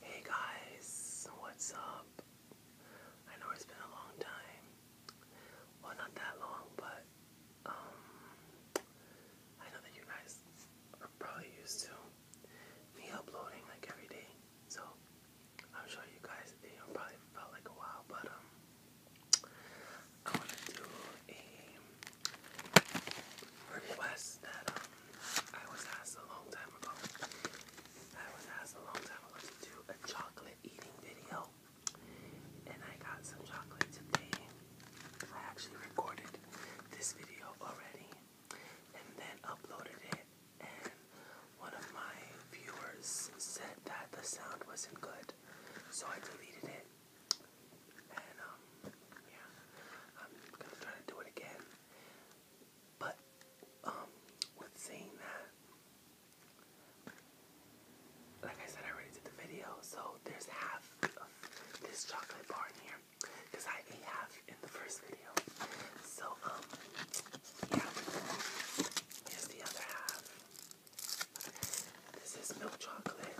Hey guys, what's up? I know it's been a long time. Well, not that long, but um, I know that you guys are probably used to me uploading like every day. So I'm sure you guys, you probably felt like a while, but um, I want to do a request that um, I was asked a long time ago. I was asked a long time ago to do a chocolate eating video. And I got some chocolate today. I actually recorded this video already and then uploaded it. And one of my viewers said that the sound wasn't good. So I deleted it. And um, yeah. I'm gonna try to do it again. But um, with saying that, like I said, I already did the video, so there's half of this chocolate bar in here because I ate half in the first video. So um, yeah, here's the other half. This is milk chocolate.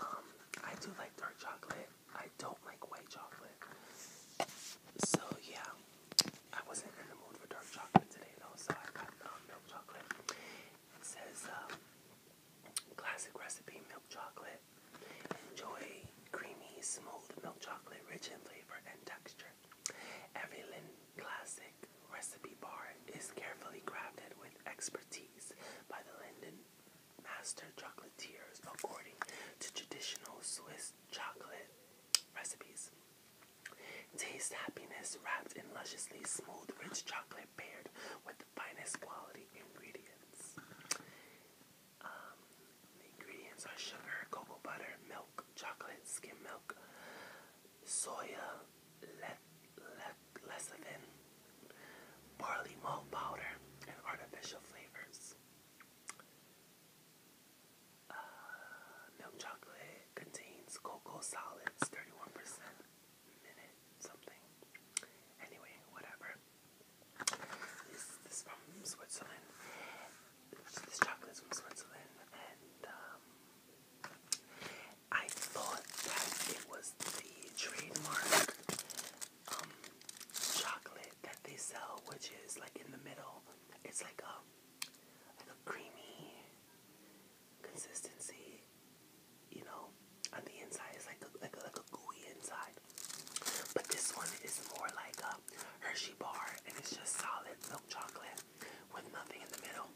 Um, I do like dark chocolate. I don't like white chocolate. So yeah, I wasn't in the mood for dark chocolate today though, so I got um, milk chocolate. It says um, classic recipe milk chocolate. Enjoy creamy, smooth milk chocolate, rich in flavor and texture. Every Lind classic recipe bar is carefully crafted with expertise by the Linden master chocolatiers according to traditional Swiss chocolate recipes. Taste happiness wrapped in lusciously smooth, rich chocolate paired with the finest quality ingredients. Um, the ingredients are sugar, cocoa butter, milk, chocolate, skim milk, soya, lecithin, barley malt powder, and artificial flavors. Uh, milk chocolate contains cocoa solids, 31% minute something. Anyway, whatever. This, this from Switzerland. This chocolate is from Switzerland, and um, I thought that it was the trademark um chocolate that they sell, which is like in the middle. It's like a like a creamy consistency, you know. On the inside, it's like a, like a, like a gooey inside. But this one is more like a Hershey bar, and it's just solid milk chocolate with nothing in the middle.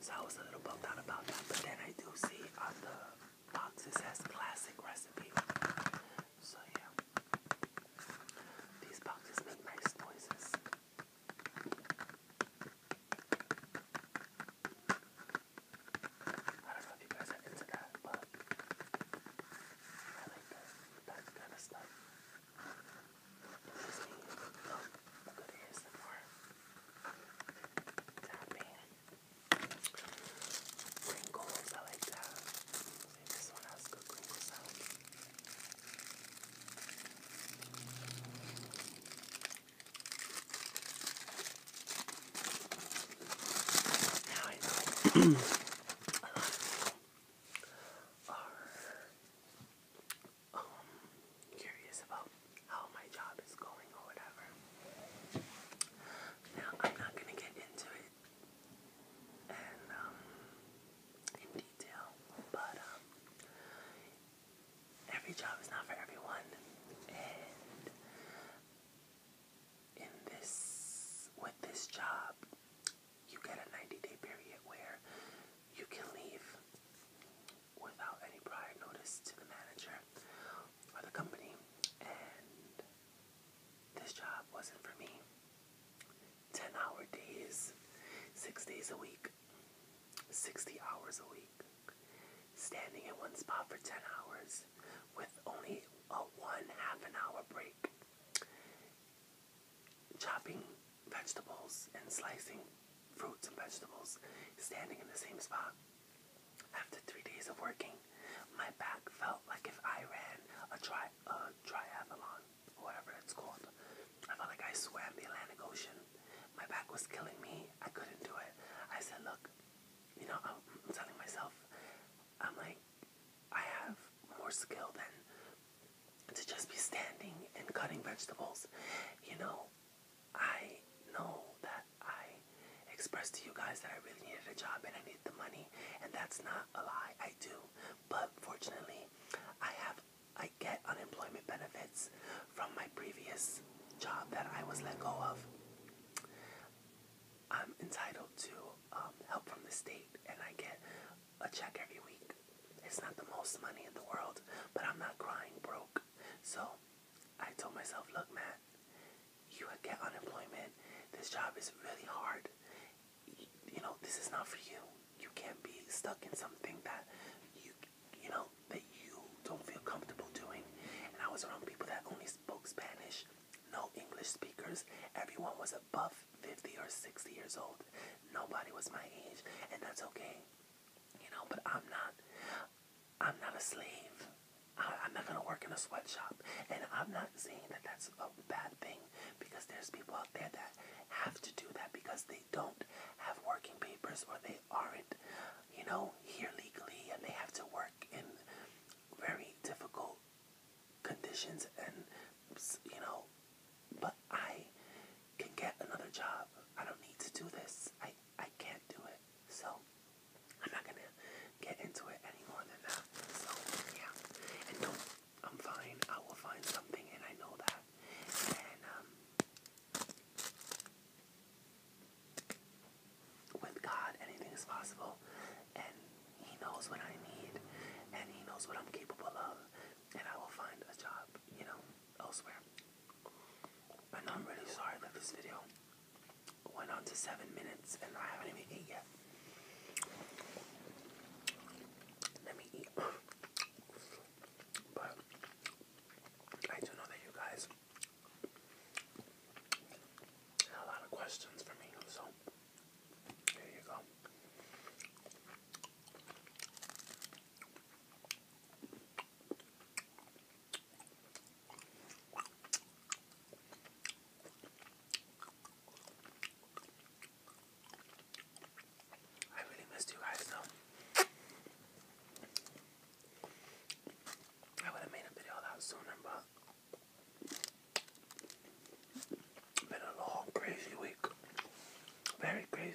So I was a little bummed out about that. But then I do see other boxes has classic recipe. So yeah. These boxes make nice noises. I don't know if you guys are into that, but I like that, kind of stuff. It gives me um, good ASMR. Tapping. Crinkles, I like that. See, this one has good crinkle sound. Now I know a lot of people are um, curious about how my job is going or whatever. Now, I'm not going to get into it um, in detail, but um, every job is not for everyone. And in this, with this job, you get a 90 day period where you can leave without any prior notice to the manager or the company, and this job wasn't for me. 10 hour days, six days a week, 60 hours a week, standing in one spot for 10 hours with only a one half an hour break, chopping vegetables and slicing fruits and vegetables, standing in the same spot. After three days of working, my back felt like if I ran a tri a triathlon, whatever it's called. I felt like I swam the Atlantic Ocean. My back was killing me. I couldn't do it. I said, look, you know, I'm, I'm telling myself, I'm like, I have more skill than to just be standing and cutting vegetables. You know, I know that I expressed to you guys that I really needed a job and I needed the money, and that's not a lie. I do, but fortunately, I have I get unemployment benefits from my previous job that I was let go of. I'm entitled to um, help from the state, and I get a check every week. It's not the most money in the world, but I'm not crying broke. So I told myself, look, man, you get unemployment. This job is really hard. You, you know, this is not for you. You can't be stuck in something that you, you know, that you don't feel comfortable doing. And I was around people that only spoke Spanish, no English speakers. Everyone was above 50 or 60 years old. Nobody was my age, and that's okay. You know, but I'm not. I'm not a slave. I, am not gonna work in a sweatshop. And I'm not saying that that's a bad thing because there's people out there that have to do that because they don't have working papers or they aren't, you know, here legally and they have to work in very difficult conditions and, you know, but I can get another job. I don't need to do this. I I can't do it. So I'm not gonna get into it any more than that. So yeah. And don't I'm fine. I will find something and I know that. And um with God anything is possible and he knows what I need and he knows what I'm capable of and I will find a job, you know, elsewhere. I'm really sorry that this video went on to seven minutes and I haven't even eaten yet. Let me eat. But I do know that you guys had a lot of questions for me, so here you go. I really missed you guys though. I would have made a video that sooner, but been a long, crazy week. Very crazy.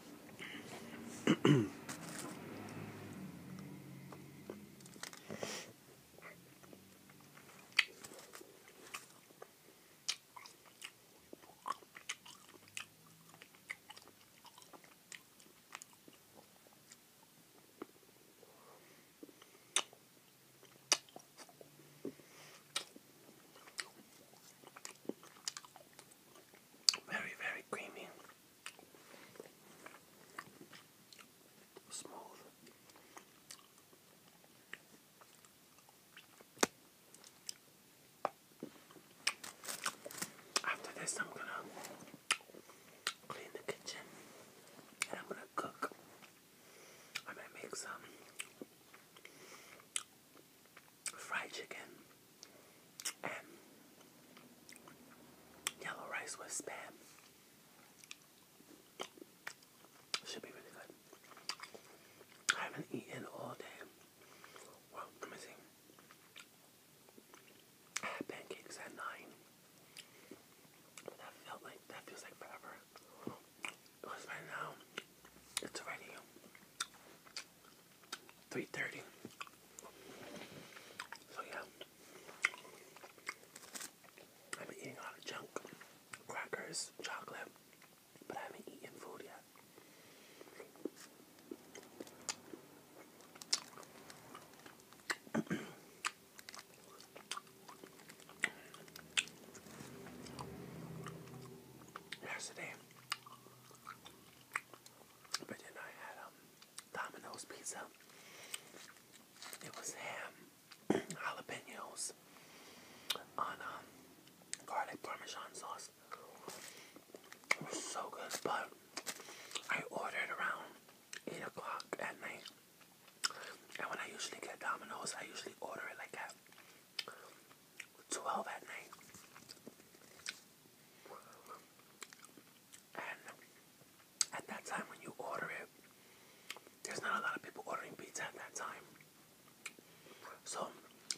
Very, very creamy. Smooth. After this, I'm gonna clean the kitchen and I'm gonna cook. I'm make some fried chicken and yellow rice with spam. Should be really good. I haven't eaten all day. Well, let pancakes at nine. That felt like that feels like forever. Because by now it's already three thirty. So yeah, I've been eating a lot of junk, crackers, chocolate, but I haven't eaten food yet. Yesterday, but then I had um Domino's pizza. It was ham, jalapenos, on um garlic parmesan sauce. It was so good, but I ordered around eight o'clock at night. And when I usually get Domino's, I usually order it like at 12 at night at that time when you order it, there's not a lot of people ordering pizza at that time. So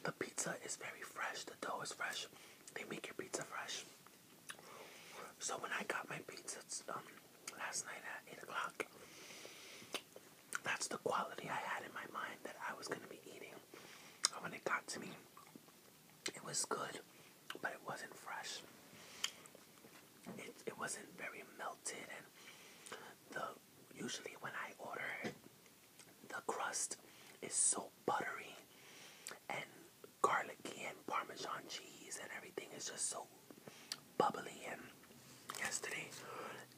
the pizza is very fresh, the dough is fresh. They make your pizza fresh. So when I got my pizza um, last night at 8 o'clock, that's the quality I had in my mind that I was going to be eating when it got to me, it was good, but it wasn't fresh. It, it wasn't very melted, and the usually when I order it, the crust is so buttery and garlicky and parmesan cheese and everything is just so bubbly and yesterday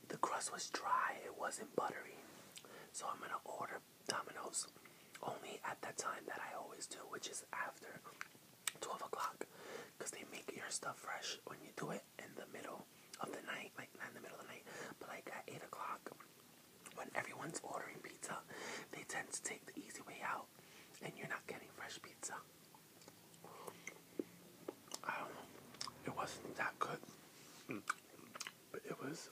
the crust was dry it wasn't buttery so I'm gonna order Dominoes, only at that time that I always do, which is after 12 o'clock, because they make your stuff fresh when you do it in the middle of the night, like not in the middle of the night, but like at 8 o'clock when everyone's ordering pizza, they tend to take the easy way out and you're not getting fresh pizza. I don't know, it wasn't that good, mm. but it was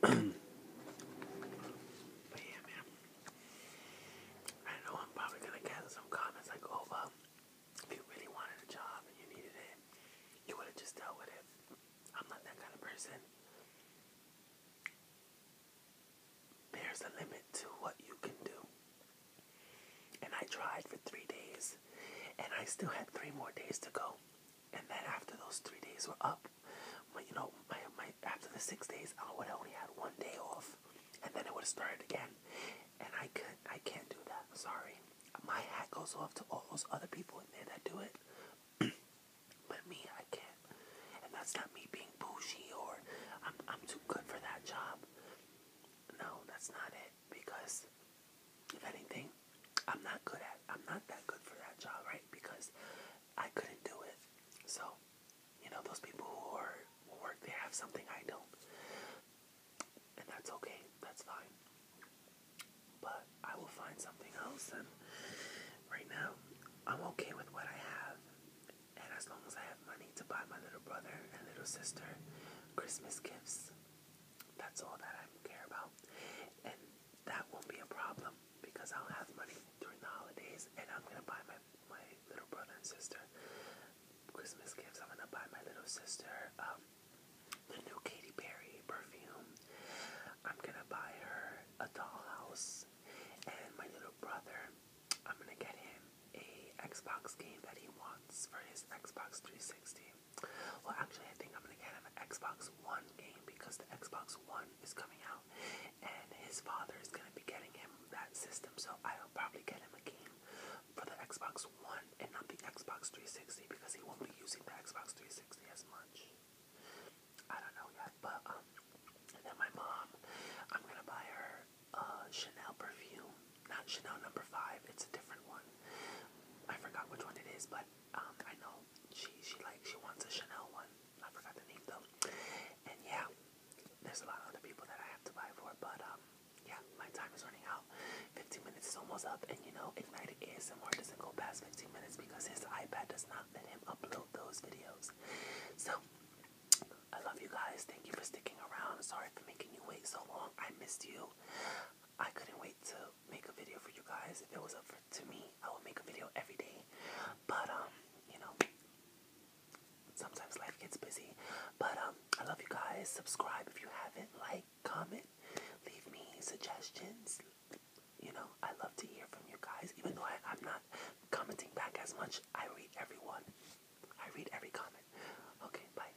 but yeah, man. I know I'm probably gonna gather some comments like, "Oh, if you really wanted a job and you needed it, you would have just dealt with it." I'm not that kind of person. There's a limit to what you can do. And I tried for three days, and I still had three more days to go and then after those three days were up, my, you know, my, my after the six days, I would only had one day off, and then it would have started again, and I could I can't do that. Sorry, my hat goes off to all those other people in there that do it, but me, I can't, and that's not me being pushy or I'm I'm too good for that job. No, that's not it because if anything, I'm not good at I'm not that good for that job, right? Because I couldn't do it. So, you know, those people who who work they have something I don't. And that's okay. That's fine. But I will find something else and right now I'm okay with what I have. And as long as I have money to buy my little brother and little sister Christmas gifts, that's all that I care about. And that won't be a problem because I'll have money during the holidays and I'm gonna buy my, my little brother and sister Christmas gifts. I'm gonna buy my little sister um, the new Katy Perry perfume. I'm gonna buy her a dollhouse and my little brother, I'm gonna get him a Xbox game that he wants for his Xbox 360. Well, actually, I think I'm gonna get him an Xbox One game because the Xbox One is coming out, and his father is gonna be getting him that system. So I'll probably get him a game for the Xbox One and not the Xbox 360 because he won't be using the Xbox 360 as much. I don't know yet, but um, then my mom, I'm gonna buy her Chanel perfume, not Chanel number five. It's a different one. I forgot which one it is, but um, I know she she like she wants a Chanel one. I forgot the name though. And yeah, there's a lot of other people that I have to buy for, but um, yeah, my time is running out. 15 minutes is almost up, and you know, Ignited ASMR doesn't go past 15 minutes because his iPad does not let him upload those videos. So, I love you guys. Thank you for sticking around. Sorry for making you wait so long. I missed you. I couldn't wait to make a video for you guys. If it was up for, to me, I would make a video every day. But um, you know, sometimes life gets busy. But um, I love you guys. Subscribe if you haven't. Like, comment, leave me suggestions. You know, I love to hear from you guys. Even though I, I'm not commenting back as much, I read everyone. I read every comment. Okay, bye.